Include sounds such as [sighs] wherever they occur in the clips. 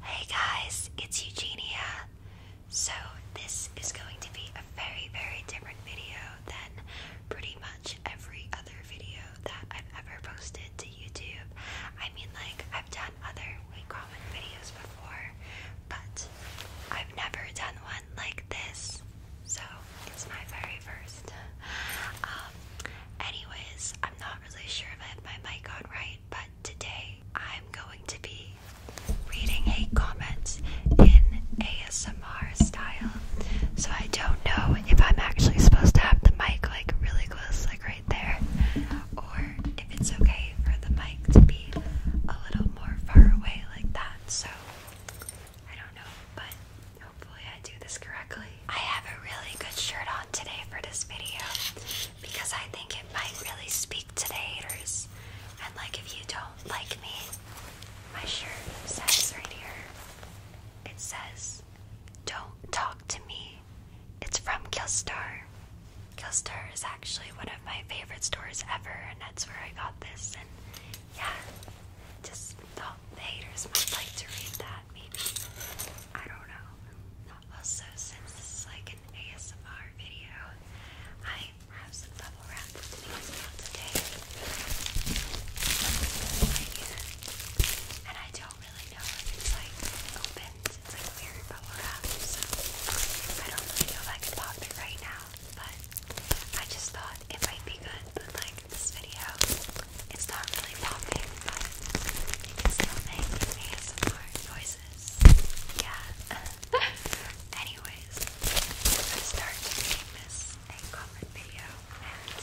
Hey guys, it's Eugenia. So, this is going to be a very, very different video than pretty much every other video that I've ever posted to YouTube. I mean, like, I've done other way common videos before, but I've never done one like this. So, it's my very first. Um, anyways, I'm not really sure if I have my mic on right, but today I'm going to be reading hate comments in ASMR style. So I don't know if I'm actually supposed to have the mic like really close, like right there, or if it's okay for the mic to be a little more far away like that. So I don't know, but hopefully I do this correctly. I have a really good shirt on today for this video because I think it might really speak to the haters. And like if you don't like me, my shirt says right here. It says, Don't talk to me. It's from Killstar. Killstar is actually one of my favorite stores ever, and that's where I got this. And yeah, just thought the haters might like to read that, maybe. I don't know. Also, since this is like an ASMR video, I have some bubble wrap with me as well And I don't really know if it's like opened, it's like weird bubble wrap, so I don't really know if I can pop it right now, but I just thought it might be good, but like this video, it's not really popping, yeah. Anyways, I start doing this a comment video and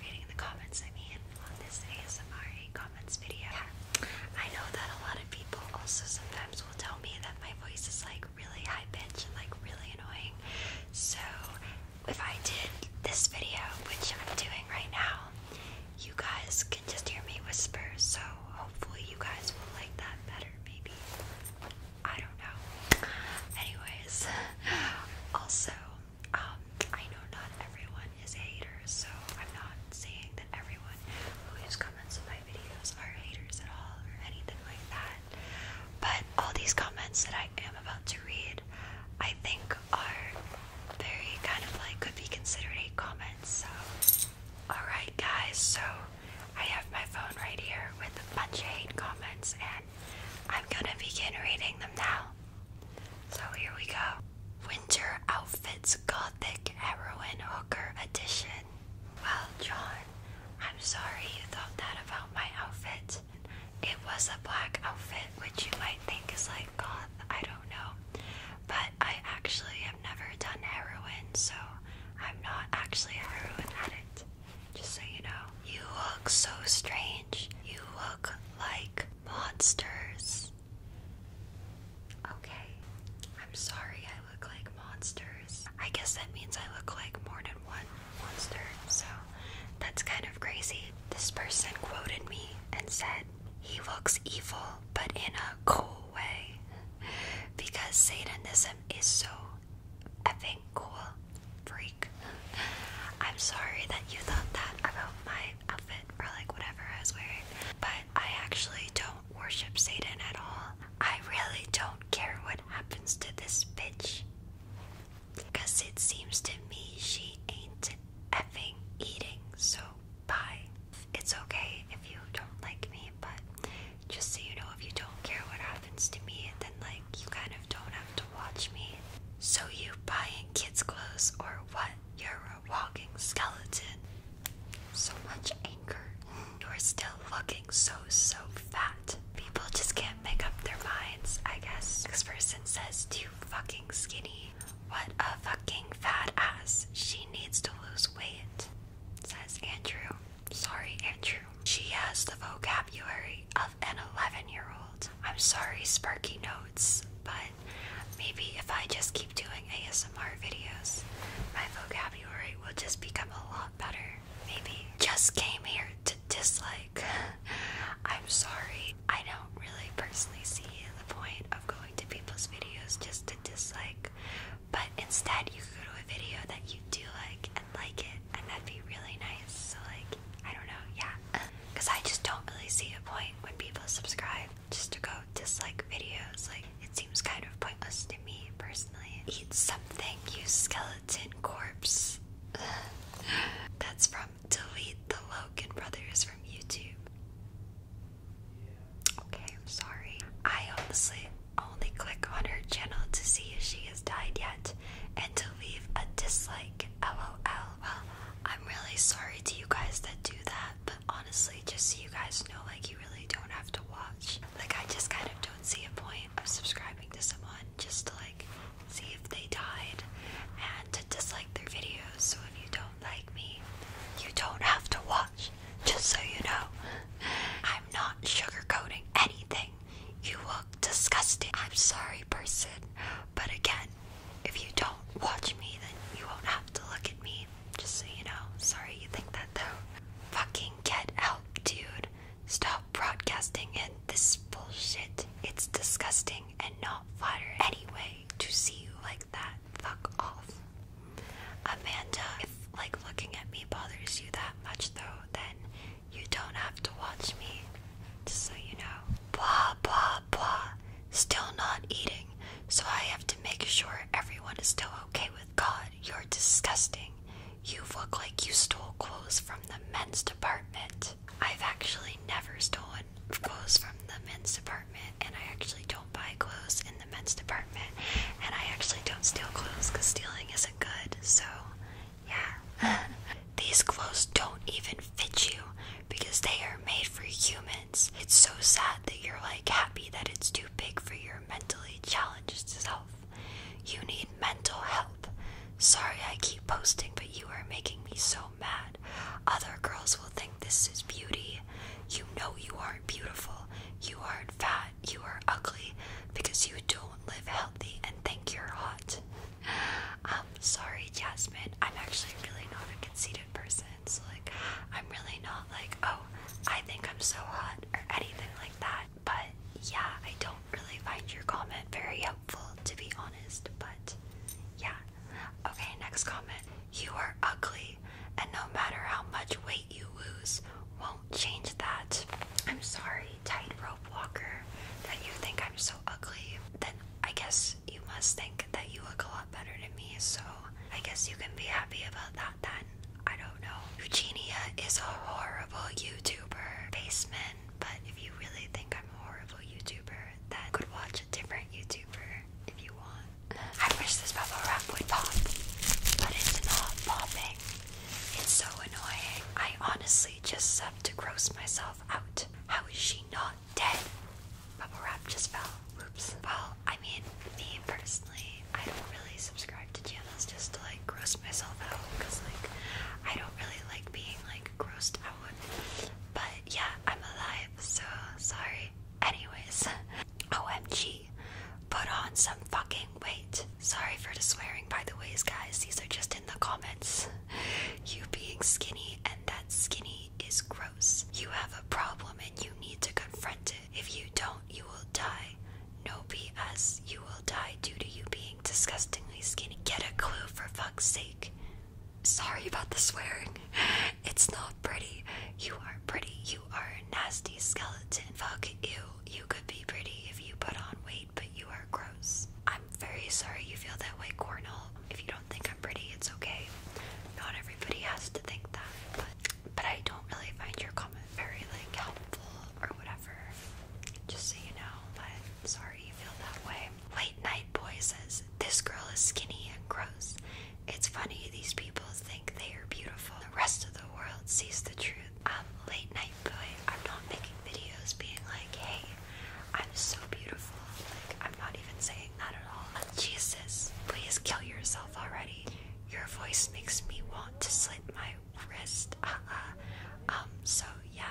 reading the comments, I mean, on this ASMR comments video. I know that a lot of people also sometimes will tell me that my voice is like really high pitched and like really annoying. So, if I did this video, which I'm doing right now, you guys just hear me whisper, so hopefully you guys will like that better, maybe. I don't know. Anyways, [laughs] also, um, I know not everyone is a so I'm not saying that everyone who leaves comments on my videos are haters at all or anything like that. But all these comments that I am about to read, I think are very kind of like could be considered hate comments. So, alright, guys, so I have my phone right here with a bunch of hate comments, and I'm gonna begin reading them now. So, here we go. Winter Outfits Gothic heroine Hooker Edition. Well, John, I'm sorry you thought that about my outfit. It was a black outfit, which you might think is like I don't know. But I actually have never done heroin, so I'm not actually a heroin addict. Just so you know. You look so strange. You look like monsters. Okay. I'm sorry I look like monsters. I guess that means I look like more than one monster, so that's kind of crazy. This person quoted me and said, he looks evil, but in a cool way. Because Satanism is so effing cool. Freak. I'm sorry that you thought that about my outfit or like whatever I was wearing, but I actually don't worship Satan at all. I really don't care what happens to this bitch. Because it seems to me she ain't effing eating so Bye. It's okay if you don't like me, but just so you know, if you don't care what happens to me, then like you kind of don't have to watch me. So you buying kids' clothes or what? You're a walking skeleton. So much anger. You're still looking so, so fat. People just can't make up their minds, I guess. This person says too fucking skinny. What a fucking fat ass. She needs to lose weight, says Andrew. Sorry, Andrew. She has the vocabulary of an 11 year old. I'm sorry, Sparky Notes, but maybe if I just keep doing ASMR videos, my vocabulary will just become a lot better. Maybe. Just came here to dislike. [laughs] I'm sorry. I don't really personally see the point of going to people's videos just to dislike, but instead you go to a video that you do like and like it, and that'd be really nice. So like, I don't know, yeah, because I just don't really see a point when people subscribe just to go dislike videos. Like, it seems kind of pointless to me personally. Eat something, you skeleton corpse. [laughs] That's from delete the Logan brothers from YouTube. Okay, I'm sorry. I honestly only click on her channel to see if she has died yet and to leave a dislike. LOL. Well, I'm really sorry to you guys that do that, but honestly, just so you guys know, like, you really don't have to watch. Like, I just kind of don't see a point of subscribing to someone just to, like, see if they died and to dislike their videos. So if you don't like me, you don't have to watch, just so you know. I'm not sugarcoating anything. You look disgusting. I'm sorry, person, but again, if you don't watch me, then you won't have to look at me, just so you know. Sorry you think that though. Fucking get out, dude. Stop broadcasting it. This bullshit. It's disgusting and not flattering. Anyway, to see you like that. Fuck off. Amanda, if like looking at me bothers you that much though, then you don't have to watch me. Just so you know. Blah blah blah. Still not eating, so I have to make sure everyone is still okay with God. You're disgusting. You look like you stole clothes from the men's department. I've actually never stolen clothes from the men's department and I actually don't buy clothes in the men's department, and I actually don't steal clothes because stealing isn't good. So, yeah, [laughs] these clothes don't even fit you because they are made for humans. It's so sad that you're like happy that it's too big for your mentally challenged self. You need mental help. Sorry, I keep posting, but you are making me so mad. Other girls will think this is beauty. You know you aren't beautiful. You aren't fat. You are ugly because you don't live healthy and think you're hot. I'm um, sorry, Jasmine. I'm actually really not a conceited person. So, like, I'm really not like, oh, I think I'm so hot or anything like that. But yeah, I don't really find your comment very helpful, to be honest. But yeah, Okay, next comment. You are ugly, and no matter how much weight you lose, won't change that. I'm sorry, tightrope walker, that you think I'm so ugly. Then I guess you must think that you look a lot better than me, so I guess you can be happy about that then. I don't know. Eugenia is a horrible YouTuber. Basement, but if you really think I'm a horrible YouTuber, then could watch a different YouTuber if you want. I wish this bubble wrap would pop, but it's not popping. It's so annoying. I honestly just sub to gross myself out. How is she not dead? Bubble wrap just fell. Oops. Well, I mean, me personally, I don't really subscribe to channels just to like gross myself out because like I don't really like being like grossed out. But yeah, I'm alive, so sorry Anyways, OMG, put on some fucking weight. Sorry for the swearing, by the ways, guys. These are just in the comments. You being skinny and that skinny is gross. You have a problem and you need to confront it. If you don't, you will die. No BS, you will die due to you being disgustingly skinny. Get a clue for fuck's sake. Sorry about the swearing. It's not pretty. You are pretty. You are a nasty skeleton. Fuck you. You could be pretty if you put on weight, but you are gross. I'm very sorry you feel that way, Cornell. If you don't think I'm pretty, it's okay. Not everybody has to think that. But, but I don't really find your comment very like helpful or whatever. Just so you know, but sorry you feel that way. White Night Boy says, This girl is skinny and gross. It's funny, these people think they are beautiful. The rest of the world sees the truth. I'm late night boy. I'm not making videos being like, hey, I'm so beautiful. Like, I'm not even saying that at all. Jesus, please kill yourself already. Your voice makes me want to slit my wrist. [laughs] Uh, Um, so yeah.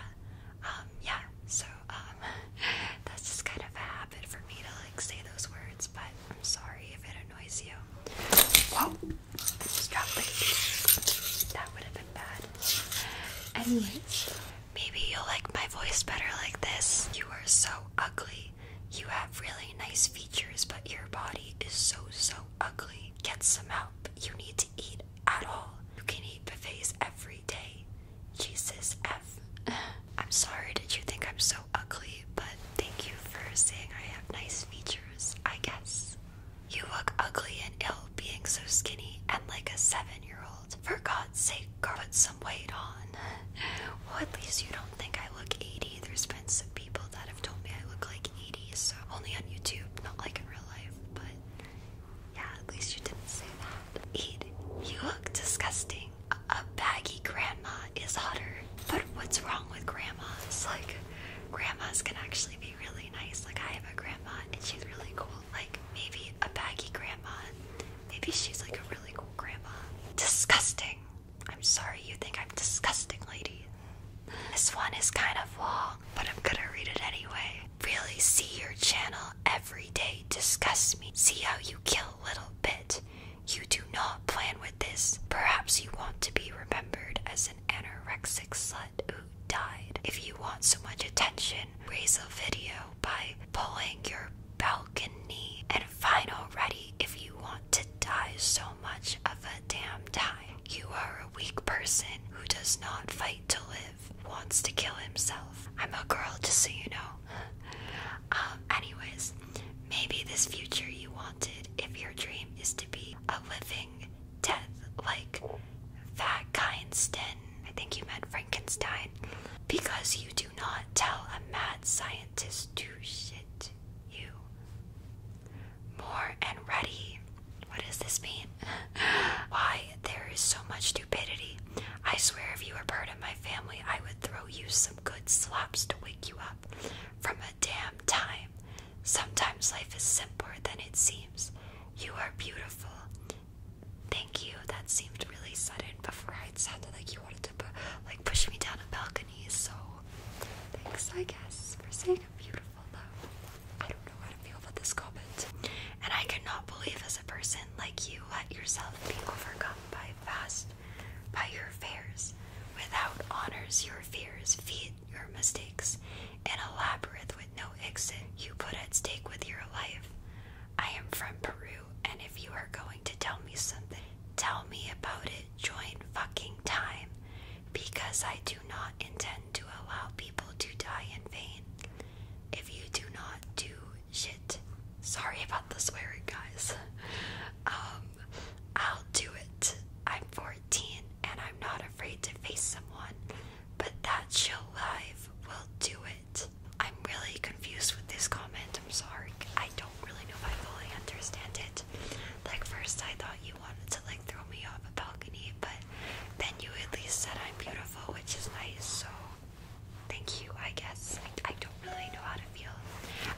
Um, yeah, so um [laughs] that's just kind of a habit for me to like say those words, but I'm sorry if it annoys you. Whoa! Just dropped That would have been bad. Anyways, maybe you'll like my voice better like this. You are so ugly. You have really nice features, but your body is so so ugly. Get some help. You need to eat at all. You can eat buffets every day. Jesus F. [sighs] I'm sorry Did you think I'm so ugly, but thank you for saying I have nice features, I guess. You look ugly and ill being so skinny and like a seven year old. For God's sake, girl, put some weight on. [laughs] well, at least you don't think I look 80. There's been some people that have told me I look like 80, so only on YouTube, not like in real life, but yeah, at least you didn't say that. Eat. You look disgusting a baggy grandma is hotter. But what's wrong with grandmas? Like, grandmas can actually be really nice. Like, I have a grandma and she's really cool. Like, maybe a baggy grandma. Maybe she's like a really cool grandma. Disgusting. I'm sorry you think I'm disgusting, lady. This one is kind of long, but I'm gonna read it anyway. Really see your channel every day. Disgust me. See how you you kill little bit. You do not plan with this. Perhaps you want to be remembered as an anorexic slut who died. If you want so much attention, raise a video by pulling your balcony. And fine already if you want to die so much of a damn time. You are a weak person who does not fight to live, wants to kill himself. I'm a girl, just so you know. [laughs] Um, anyways, maybe this future you wanted, if your dream is to be a living death, like Frankenstein, I think you meant Frankenstein, because you do not tell a mad scientist to shit you. More and ready. What does this mean? [laughs] Why there is so much stupidity I swear if you were part of my family, I would throw you some good slaps to wake you up from a damn time. Sometimes life is simpler than it seems. You are beautiful. Thank you. That seemed really sudden before it sounded like you wanted to like push me down a balcony, so thanks, I guess, for saying i beautiful, though. I don't know how to feel about this comment. And I cannot believe as a person like you let yourself be overcome by fast by your fears without honors your fears feed your mistakes in a labyrinth with no exit you put at stake with your life i am from peru and if you are going to tell me something tell me about it join fucking time because i do not intend to allow people to die in vain if you do not do shit. Sorry about the swearing, guys. Um, I'll do it. I'm 14 and I'm not afraid to face someone, but that show live will do it. I'm really confused with this comment. I'm sorry. I don't really know if I fully understand it. Like, first I thought you wanted to, like, throw me off a balcony, but then you at least said I'm beautiful, which is nice, so thank you, I guess. I, don't really know how to feel.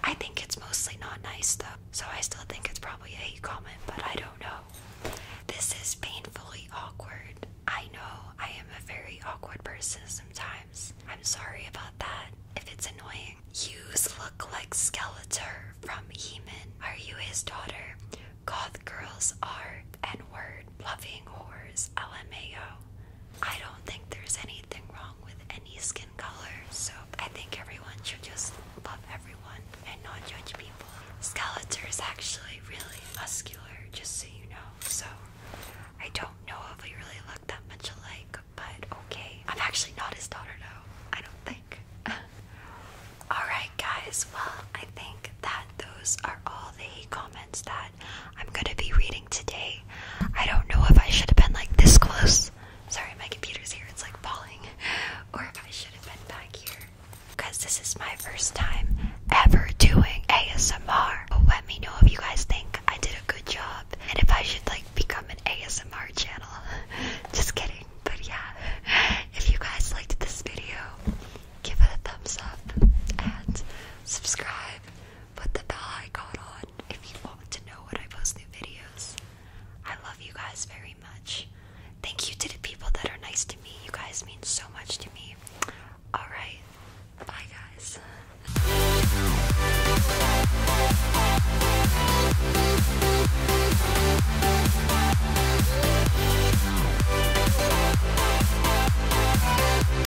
I think it's mostly not nice though, so I still think it's probably a comment, but I don't know. This is painfully awkward. I know I am a very awkward person sometimes. I'm sorry about that if it's annoying. Hughes look like Skeletor from He-Man. Are you his daughter? Goth girls are N-word, loving whores, LMAO. I don't think there's anything wrong with any skin color, so I think everyone should just love everyone and not judge people. Skeletor is actually really muscular, just so you know, so I don't know if we really look that much alike, but okay. I'm actually not his daughter though, I don't think. [laughs] Alright guys, well I think that those are all the comments that I'm gonna be reading today. I don't know if I should have been like this close. Sorry, my computer's here, it's like falling. [laughs] Or if I should have been back here. Because this is my first time ever doing ASMR. let me know if you guys think I did a good job and if I should like become an ASMR channel. [laughs] Just kidding. But yeah, if you guys liked this video, give it a thumbs up and subscribe put the bell icon on if you want to know when I post new videos. I love you guys very much. Thank you to the people that are nice to me. You guys mean so much to me. Alright, bye guys.